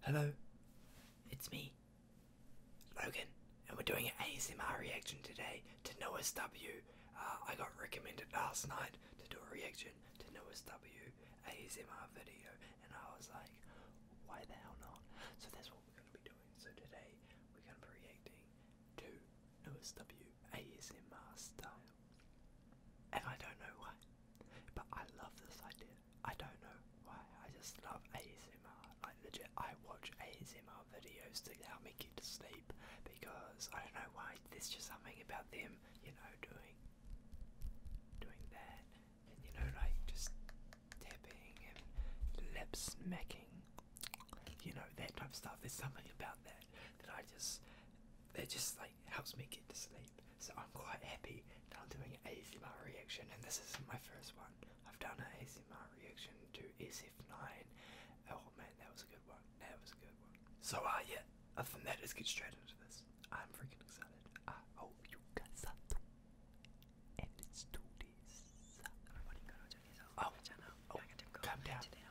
Hello, it's me, Logan, and we're doing an ASMR reaction today to Noah's W. Uh, I got recommended last night to do a reaction to Noah's W ASMR video, and I was like, why the hell not? So that's what we're going to be doing. So today, we're going to be reacting to Noah's W ASMR style. And I don't know why, but I love this idea. I don't know why. I just love ASMR. Like legit, I watch ASMR videos to help me get to sleep because I don't know why. There's just something about them, you know, doing, doing that, and you know, like just tapping and lip smacking, you know, that type of stuff. There's something about that that I just, that just like helps me get to sleep so I'm quite happy that I'm doing an ASMR reaction, and this isn't my first one. I've done an ASMR reaction to SF9. Oh man, that was a good one. That was a good one. So, uh, yeah, other than that, let's get straight into this. I'm freaking excited. I hope you got something? And let's do Oh, oh, come down. Coming in.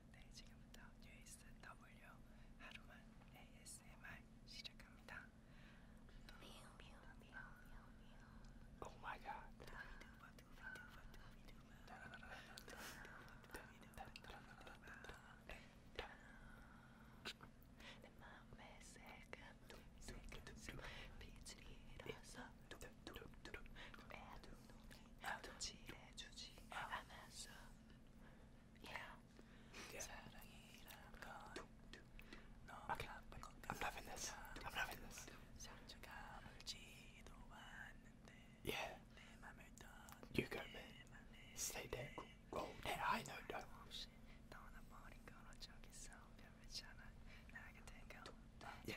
네, 지금부터 USW 하루만 ASMR 시작합니다. Oh my god. 내 맘에 새금 새금 빛이 일어서 뚝뚝뚝뚝 애도 Okay. I'm loving this. I'm loving this. Yeah. You go, man. Stay there. Go there. I know that. Yeah.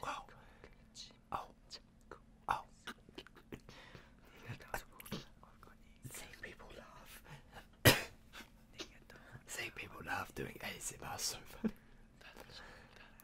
Wow. Oh. Oh. Seeing people laugh. Seeing people laugh doing ASMR so funny.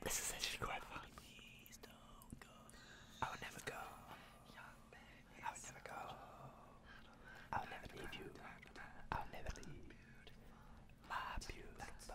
This is such a good I will never go I would never go I would never leave you I will never leave My My beautiful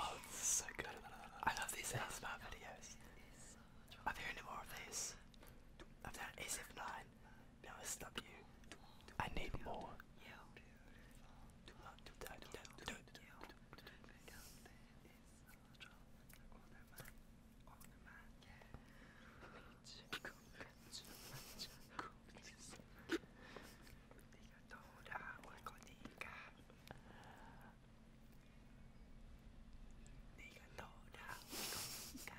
Oh, it's so good. I love these ASMR videos. Are there any more of these? I've done ASF9. Now I stop you. I need more. とほら親子にいいか你がどうだ親子にいいか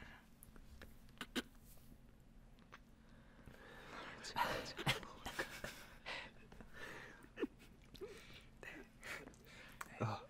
あっ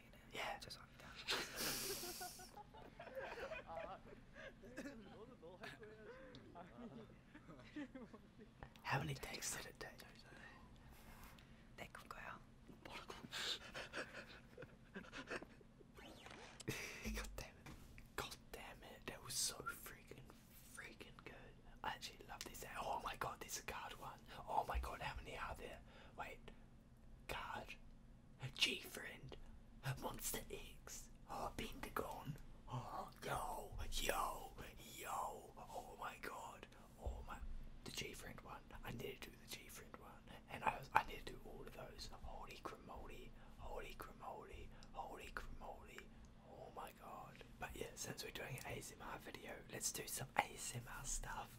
Yeah, just walk down. How many takes did it take? They could go out. God damn it. God damn it. That was so freaking, freaking good. I actually love this. Oh my god, this is a card one. Oh my god, how many are there? Wait, God, a G friend, a Monster X, oh, Pentagon, oh, yo, yo, yo, oh my God, oh my, the G friend one. I need to do the G friend one, and I I need to do all of those. Holy cremoli, holy cremoli, holy cremoli. Oh my God! But yeah, since we're doing an ASMR video, let's do some ASMR stuff.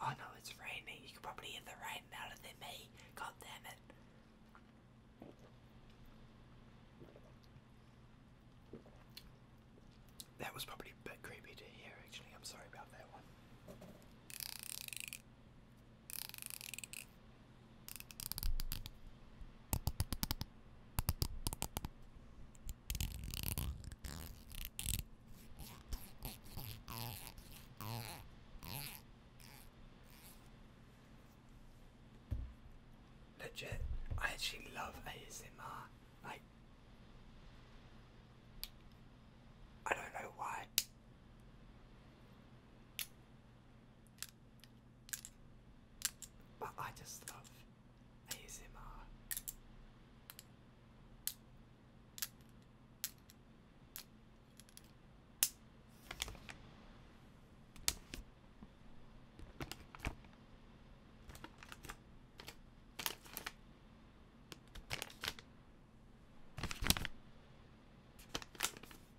Oh no, it's raining. You could probably hear the rain louder than me. God damn it. That was probably a bit creepy to hear actually. I'm sorry about that one. Legit, I actually love ASMR. Like, I don't know why. But I just love ASMR.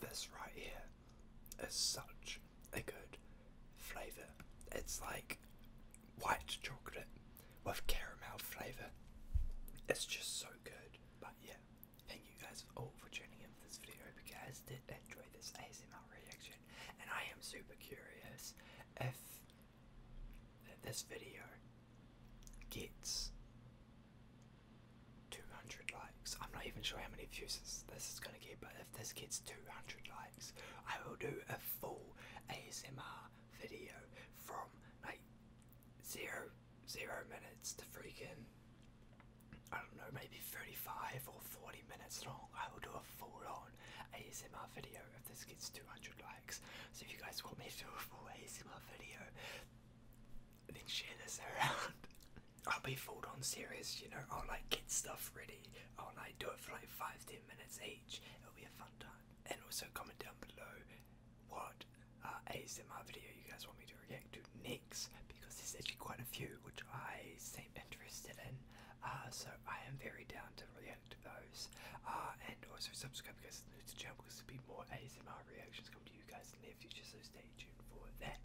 This right here is such a good flavour. It's like white chocolate with caramel flavour. It's just so good. But yeah, Thank you guys all for tuning in for this video. Hope you guys did enjoy this ASMR reaction, and I am super curious if this video gets 200 likes. I'm not even sure how many views this, this is gonna get, but if this gets 200 likes, I will do a full ASMR video from like zero zero minutes to freaking I don't know, maybe 35 or 40 minutes long, I will do a full on ASMR video if this gets 200 likes. So if you guys want me to do a full ASMR video, then share this around. I'll be full on serious, you know, I'll like get stuff ready, I'll like do it for like 5-10 minutes each, it'll be a fun time. And also comment down below what uh, ASMR video you guys want me to react to next because there's actually quite a few which I seem interested in. Uh, so I am very down to react to those. Uh, and also subscribe because new to the channel because there'll be more ASMR reactions coming to you guys in the future. So stay tuned for that.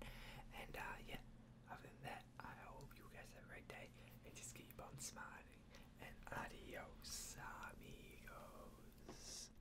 And uh, yeah, other than that, I hope you guys have a great day and just keep on smiling. And adios amigos.